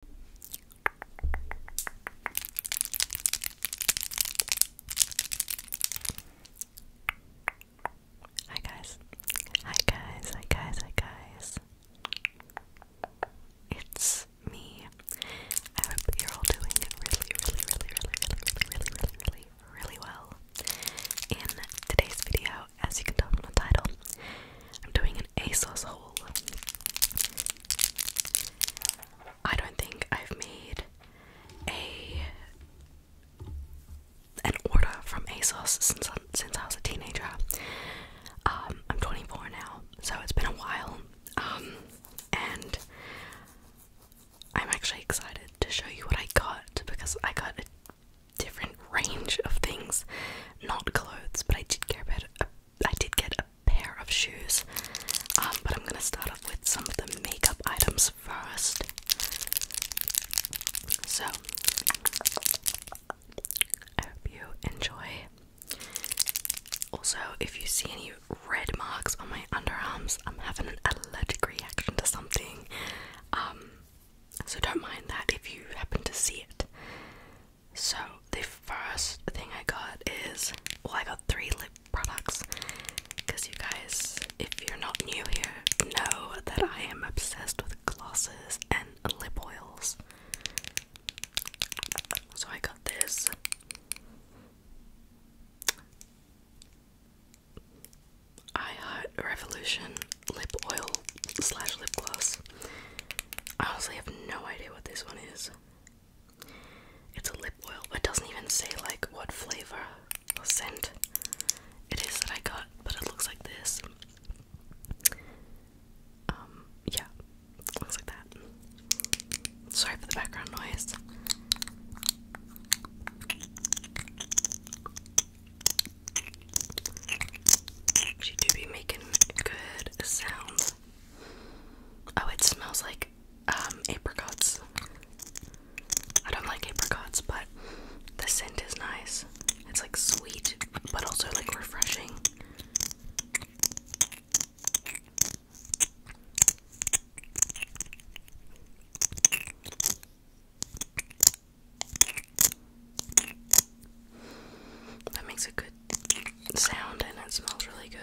Hi guys. Hi guys. Hi guys. Hi guys. It's me. I hope you're all doing really, really, really, really, really, really, really, really, really well. In today's video, as you can tell from the title, I'm doing an ASOS haul. I don't think I've made a an order from ASOS since I, since I was a teenager. Um, I'm 24 now, so it's been a while. Um, and I'm actually excited to show you what I got because I got a different range of things, not clothes, but I did get a bit, I did get a pair of shoes, um, but I'm gonna start off with some of the makeup items first. So, I hope you enjoy. Also, if you see any red marks on my underarms, I'm having an allergic reaction to something. Um, so don't mind that if you happen to see it. So the first thing I got is well I got three lip products because you guys if you're not new here know that I am obsessed with glosses and lip oils. So I got this I Revolution lip oil slash lip gloss. I honestly have no idea what this one is. It's a lip oil, but it doesn't even say like what flavor or scent it is that I got, but it looks like this. Um, yeah, looks like that. Sorry for the background noise. She do be making good sounds. Oh, it smells like um, apricots. I don't like apricots, but the scent is nice. It's like sweet, but also like refreshing. That makes a good sound and it smells really good.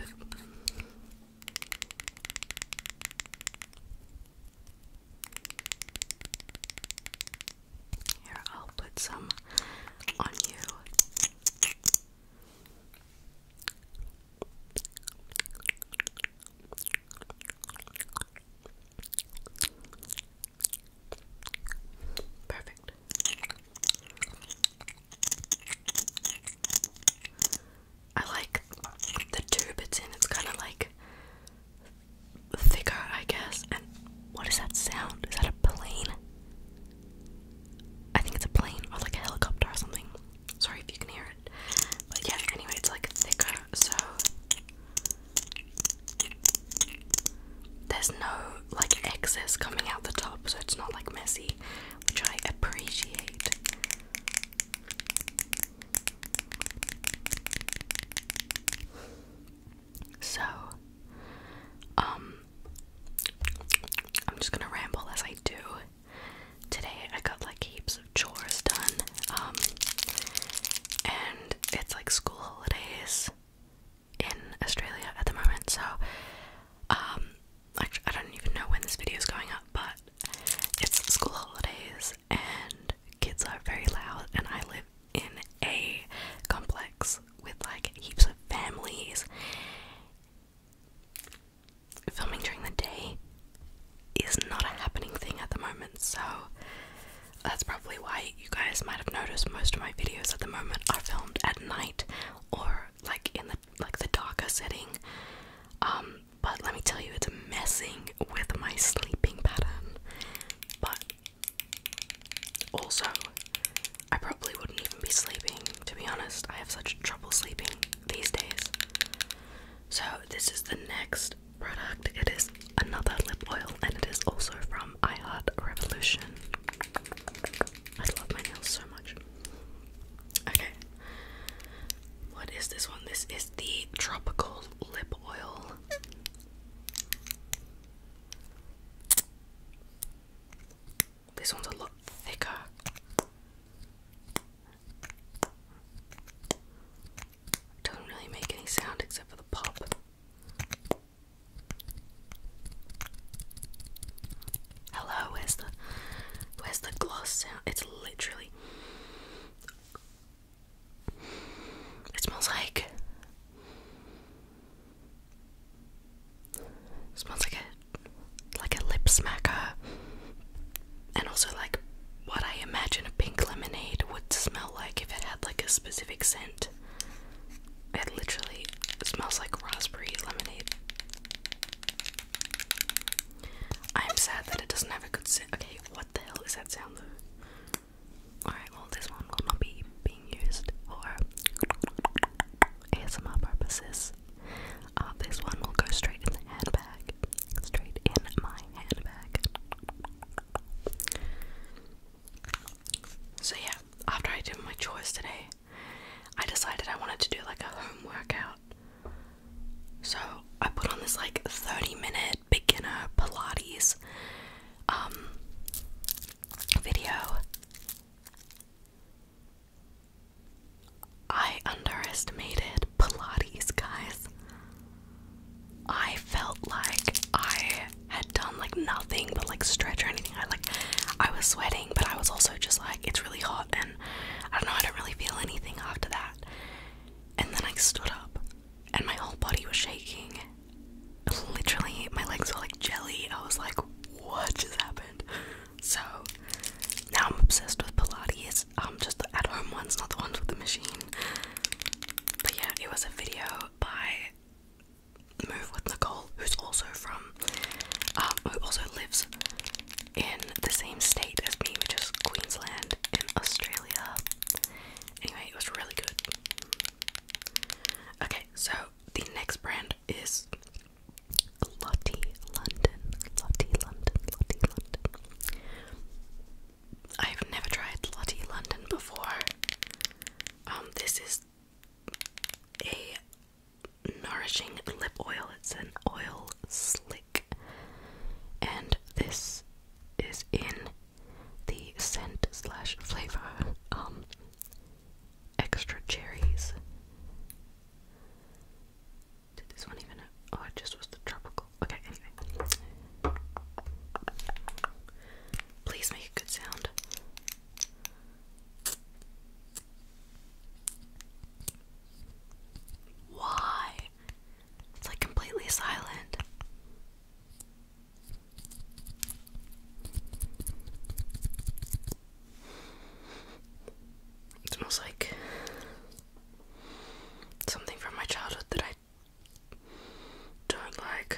Here, I'll put some on you. Perfect. I like the tube it's in, it's kind of like thicker, I guess. And what is that sound? Is that a plane? I think it's a plane or like a helicopter or something. Sorry if you can hear it. But yeah, anyway, it's like thicker, so there's no like excess coming out the top, so it's not like messy, which I appreciate. So, um, I'm just gonna ramble as I do. Today I got like heaps of chores done, um, and it's like school holidays, in Australia at the moment, so um, actually, I don't even know when this video is going up, but it's school holidays and kids are very loud, and I live in a complex with like heaps of families. Filming during the day is not a happening thing at the moment, so that's probably why you guys might have noticed most of my videos at the moment are filmed at night or like in the like the darker setting. Um, but let me tell you it's messing with my sleeping pattern. But also I probably wouldn't even be sleeping, to be honest. I have such trouble sleeping these days. So this is the next product. It is another lip oil and it is also from I Heart Revolution. I love my nails so much. Okay. What is this one? This is the tropical lip oil. This one's a lot thicker. Doesn't really make any sound except for the pop. Hello, where's the where's the gloss sound? It's literally It smells like it smells like a like a lip smacker and also like what I imagine a pink lemonade would smell like if it had like a specific scent it. literally smells like raspberry lemonade. I am sad that it doesn't have a good scent. Okay, what the hell is that sound though? Alright, well, this one will not be being used for ASMR purposes. Uh, this one will go straight in the handbag. Straight in my handbag. So yeah, after I did my chores today, I decided I wanted to do like a home workout. So I put on this like 30 minute beginner Pilates um video. I underestimated Pilates, guys. I felt like I had done like nothing but like stretch or anything. I like I was sweating, but I was also just like it's really hot and I don't know, I don't really feel anything after that. And then I stood up and my whole body was shaking. Literally my legs were like jelly. I was like, what just happened? So now I'm obsessed with Pilates. I'm um, just the at home ones, not the ones with the machine. But yeah, it was a video by move with Nicole, who's also from, um, who also lives in the same state as me, which is Queensland in Australia. Anyway, it was really good. Okay, so the next brand is Lottie London. Lottie London, Lottie London. I've never tried Lottie London before. Um, this is a nourishing lip oil. It's an oil slick, and this is in the scent slash flavor. Um, extra cherries. Did this one even? Oh, it just was the tropical. Okay, anyway. Please make a good sound. Why? It's like completely silent. It smells like something from my childhood that I don't like.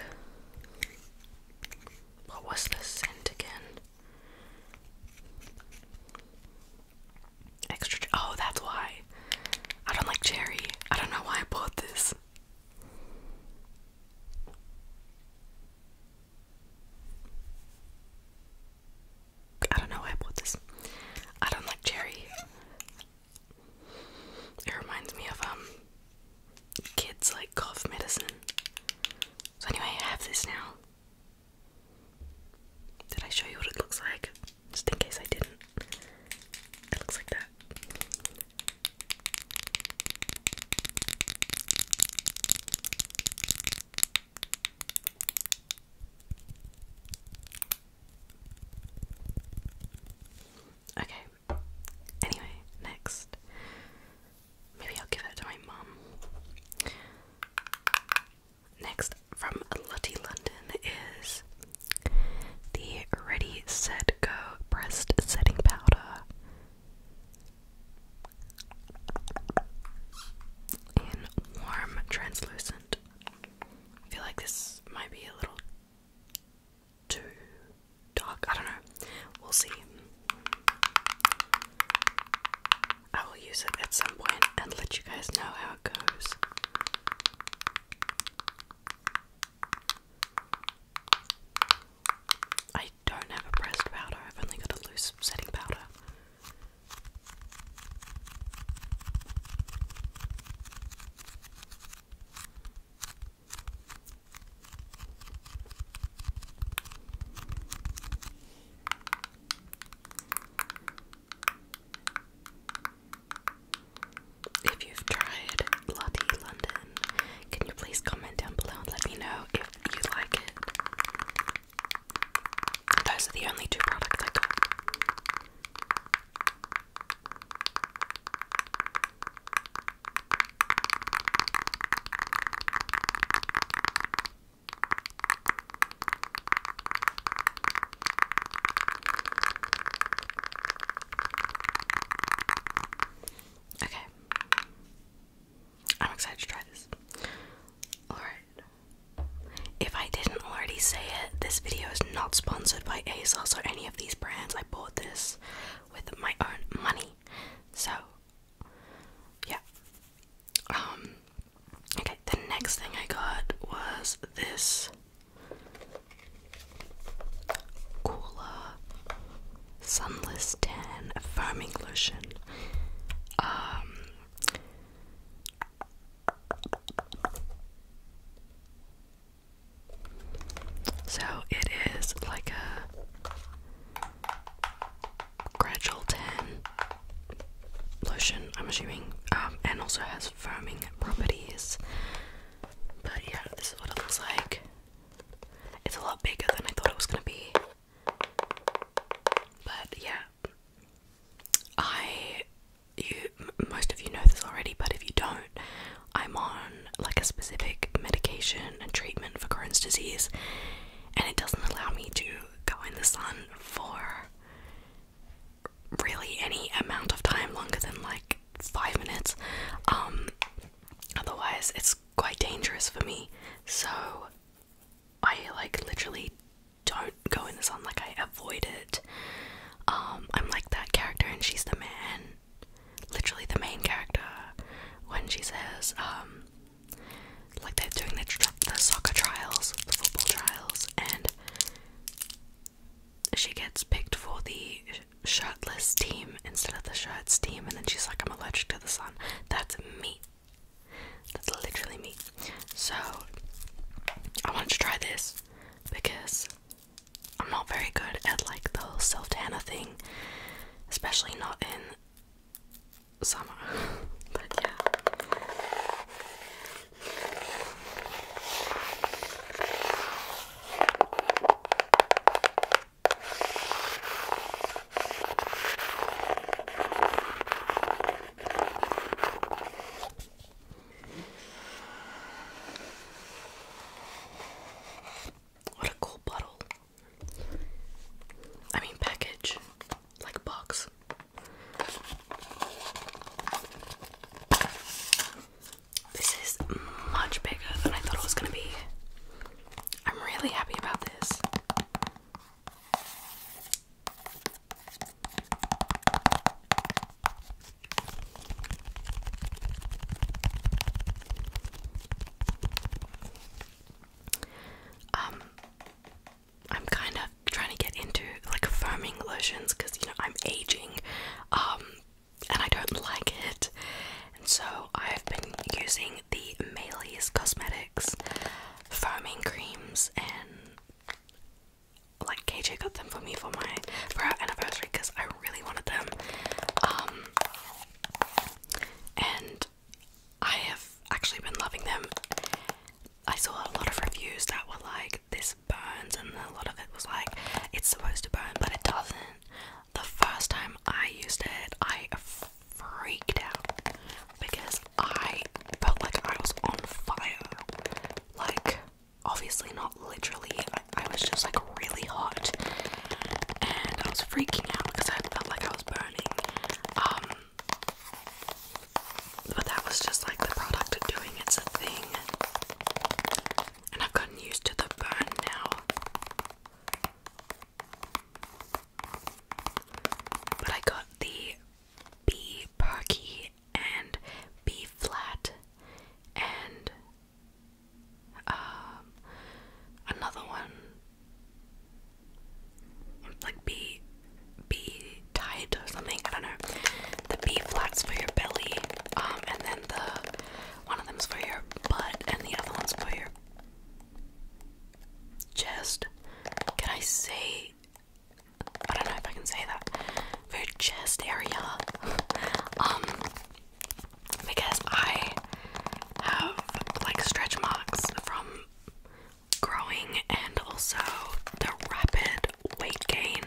What was the scent again? Extra. Oh, that's why. I don't like cherry. I don't know why I bought this. I don't know why I bought this. I don't like cherry. It reminds me of um kids like cough medicine. So anyway, I have this now. Did I show you what it looks like? Just in case I didn't. It looks like that. Okay. Anyway, next. Maybe I'll give it to my mum. Next from Lottie London is the Ready Set Go Breast Setting Powder in warm translucent. I feel like this might be a little too dark. I don't know. We'll see. I will use it at some point and let you guys know how it goes. I don't have a pressed powder, I've only got a loose setting powder. If you've tried Lottie London, can you please comment down below and let me know if you like it? Those are the only two products I got. Okay. I'm excited to try this. Alright. If I didn't already say it. This video is not sponsored by ASOS or any of these brands. I bought this with my own money. So, yeah. Um, okay, the next thing I got was this Cooler Sunless Tan Firming Lotion. Um, so it is like a gradual tan lotion, I'm assuming, um, and also has foaming properties. But yeah, this is what it looks like. It's a lot bigger than I thought it was gonna be. But yeah, I you most of you know this already, but if you don't, I'm on like a specific medication and treatment for Crohn's disease, and it doesn't allow me to go in the sun for really any amount of time longer than like five minutes. Um, otherwise, it's quite dangerous for me. So I like literally don't go in the sun. Like I avoid it um, I'm like that character, and she's the man, literally the main character. When she says, um, like they're doing the, soccer trials, the football trials, and she gets picked for the shirtless team instead of the shirts team, and then she's like, I'm allergic to the sun. That's me. That's literally me. So, I wanted to try this because I'm not very good at like the whole self tanner thing, especially not in summer. yeah. What a cool bottle. I mean, package. Like box. This is much bigger than I thought it was gonna be. I'm really happy about this. Um, I'm kind of trying to get into like firming lotions because you know I'm aging, um, and I don't like it, and so I've been using the Maylis Cosmetics firming creams, and like KJ got them for me for my for our anniversary because I really wanted them. Um and I have actually been loving them. I saw a lot of reviews that were like this burns and a lot of it was like it's supposed to burn but it doesn't. The first time I used it I freaked out because I felt like I was on fire. Like obviously not literally. I, was just like really hot, and I was freaking out because I felt like I was burning. Um, but that was just like the product of doing its a thing, and I've gotten used to the burn now. But I got the Bee Perky and B flat and um, another one like B B tight or something, I don't know. The B flats for your belly, um, and then the one of them's for your butt and the other one's for your chest. Can I say I don't know if I can say that food chest area um because I have like stretch marks from growing and also the rapid weight gain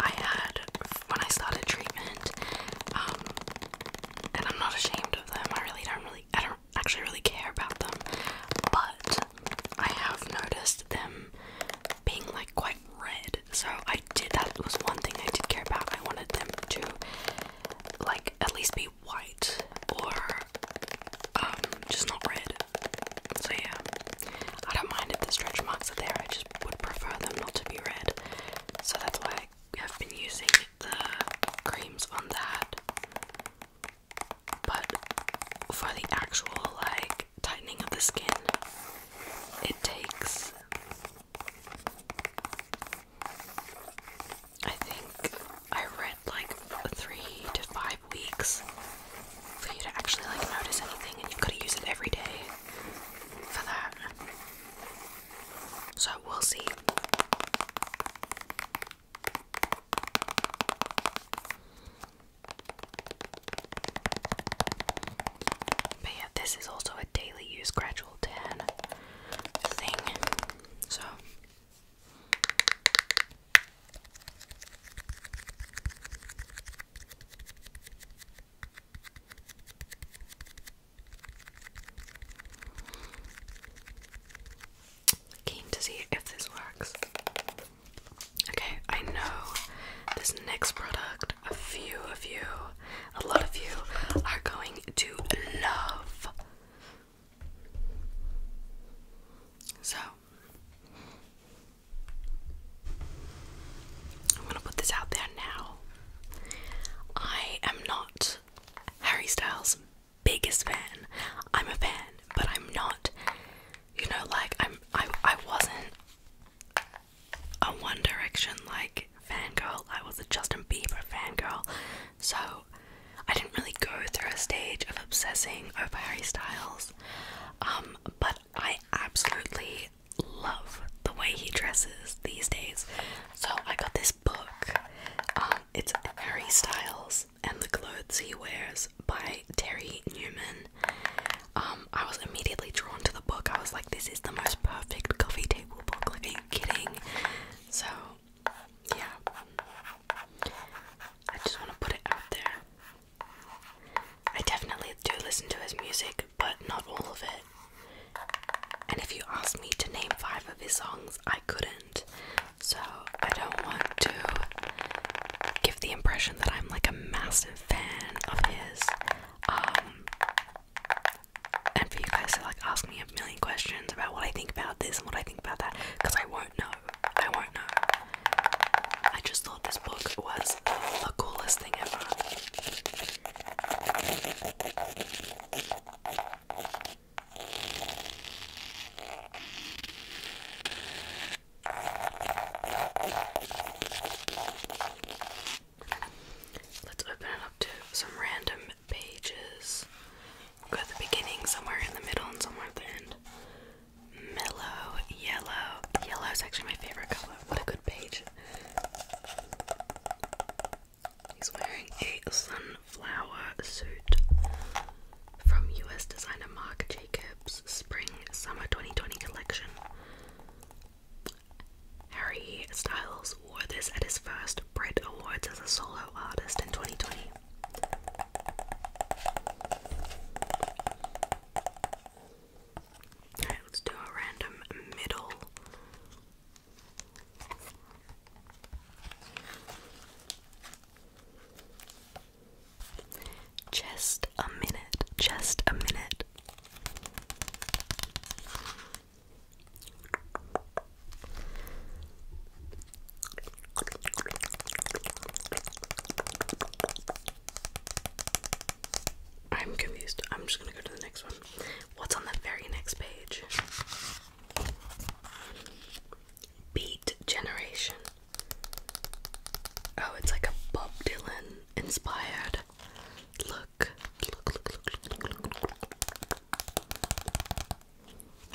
I had when I started treatment um and I'm not ashamed of them I really don't really I don't actually really care about them but I have noticed them being like quite red. So I did that was one thing I did care about. I wanted them to like at least be white or um, just not red. So yeah. I don't mind if the stretch marks are there, I just would prefer them not to be red. So that's why I have been using the creams on that. But for the actual like tightening of the skin. It takes I think I read like three to five weeks for you to actually like notice anything and you've got to use it every day for that. So we'll see. But yeah, this is also a daily use gradual tan thing. So Keen to see if this works. Okay, I know this next product, a few of you, a lot of you are going to love. So, I'm gonna put this out there now. I am not Harry Styles' biggest fan. I'm a fan, but I'm not you know, like I'm I I wasn't a One Direction like fangirl. I was a Justin Bieber fangirl. So I didn't really go through a stage of obsessing over Harry Styles. Um, but I absolutely love the way he dresses these days. So I got this book. Um, it's Harry Styles and the Clothes He Wears by Terry Newman. Um, I was immediately drawn to the book. I was like, this is the most perfect coffee table book. Like, are you kidding? So, yeah. I just want to put it out there. I definitely do listen to his music, but not all of it. And if you asked me to name five of his songs, I couldn't. So I don't want to give the impression that I'm like a massive fan of his. Um, and for you guys to like ask me a million questions about what I think about this and what I think about that, because I won't know. I won't know. I just thought this book was the coolest thing ever. Let's open it up to some random pages. We'll go the beginning, somewhere in the middle, and somewhere at the end. Mellow, yellow. Yellow is actually my favorite color. What a good page. He's wearing a sunflower suit from US designer Marc Jacobs Spring Summer 2020 collection. Harry Styles wore this at his first Brit Awards as a solo artist in 2020. Alright, let's do a random middle. Just a minute, just a minute. I'm confused. I'm just gonna go to the next one. What's on the very next page? Beat Generation. Oh, it's like a Bob Dylan inspired look.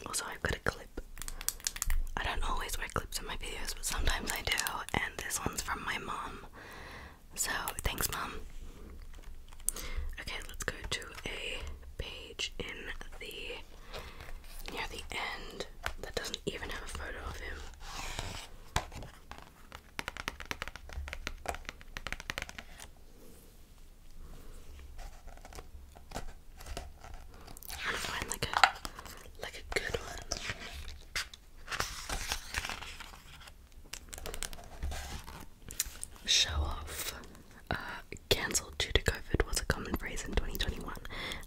Also, I've got a clip. I don't always wear clips in my videos, but sometimes I do, and this one's from my mom. So, thanks, mom. Okay, let's go to a page in the near the end that doesn't even have a photo of him. I'm gonna find like a like a good one. Show off. Uh, cancelled due to COVID was a common phrase in 2021.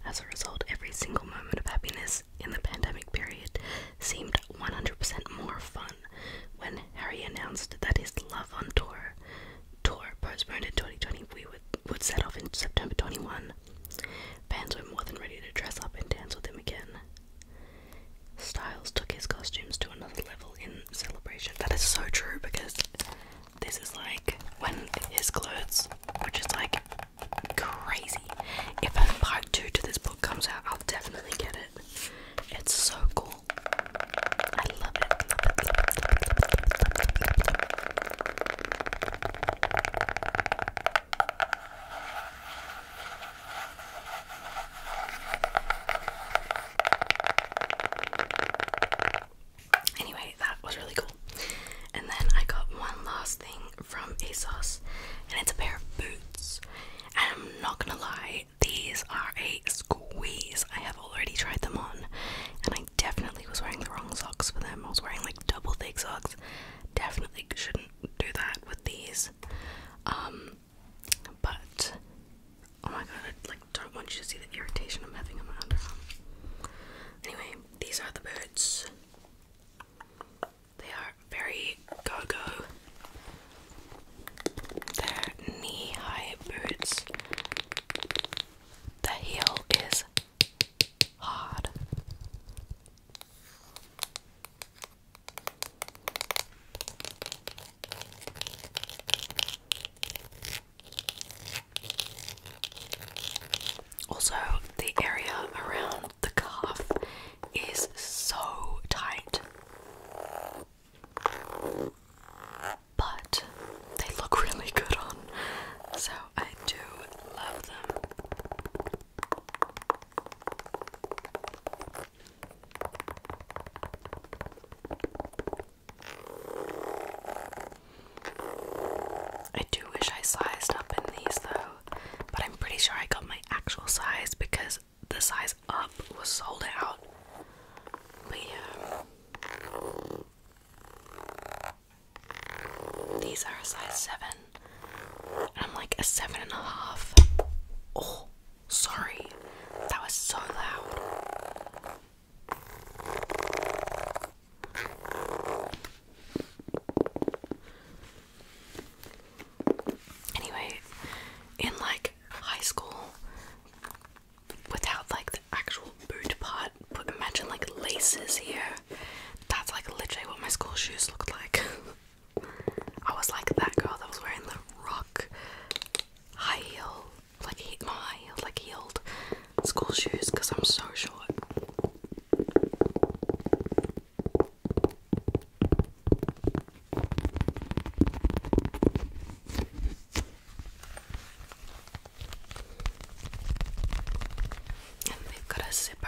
As a result, every single moment of happiness in the pandemic period seemed 100% more fun when Harry announced that his Love on Tour tour postponed in 2020 we would, would set off in September 21. Fans were more than ready to dress up and dance with him again. Styles took his costumes to another level in celebration. That is so true because this is like when his clothes, which is like crazy. If a part two to this book comes out, I'll definitely get it. It's so cool. I love it. love it. Anyway, that was really cool. And then I got one last thing from ASOS, and it's a pair of boots. And I'm not gonna lie, these are a squeeze. I have already tried them on, and I definitely was wearing the wrong socks for them. I was wearing like double thick socks. Definitely shouldn't do that with these. Um, but oh my god, like like don't want you to see the irritation I'm having on my underarm. Anyway, these are the boots. They are very go-go. They're knee-high boots. The heel is hard. Also, the area around the calf is so tight. But they look really good on, so I do love them. I do wish I sized up in these though, but I'm pretty sure I got my actual size because the size up was sold out. But yeah, these are a size seven, and I'm like a seven and a half. Oh, sorry, that was so loud. Anyway, in like high school, without like the actual boot part, but imagine like laces here. That's like literally what my school shoes looked like. I was like that girl that was wearing the rock high heel like he my like heeled school shoes because I'm so short. And they've got a zipper.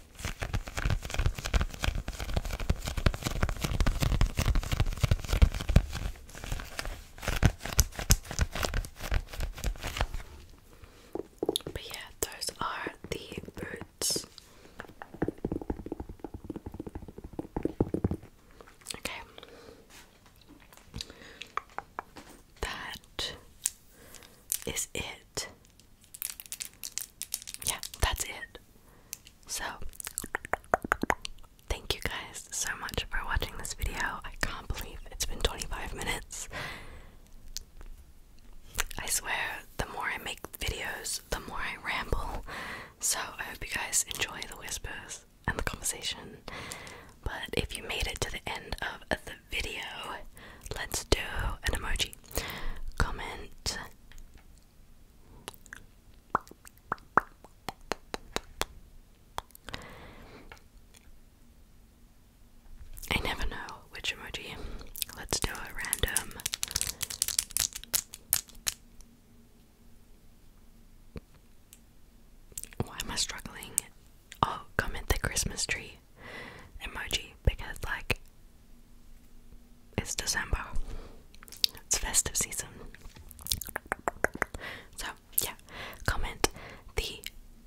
But yeah, those are the boots. Okay. That is it yeah, that's it. So, thank you guys so much for watching this video. I can't believe it's been 25 minutes. I swear, the more I make videos, the more I ramble. So, I hope you guys enjoy the whispers and the conversation. But if you made it to the end of the video, let's do an emoji. Comment I never know which emoji. Let's do a random. Why am I struggling? Oh, come at the Christmas tree emoji because, like, it's December. It's festive season. So, yeah, comment the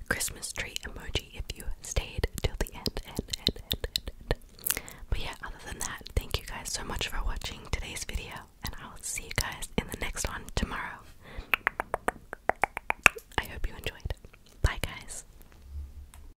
Christmas tree emoji if you stayed till the end, end, end, end, end, end. But yeah, other than that, thank you guys so much for watching today's video, and I will see you guys in the next one tomorrow. I hope you enjoyed. Bye, guys.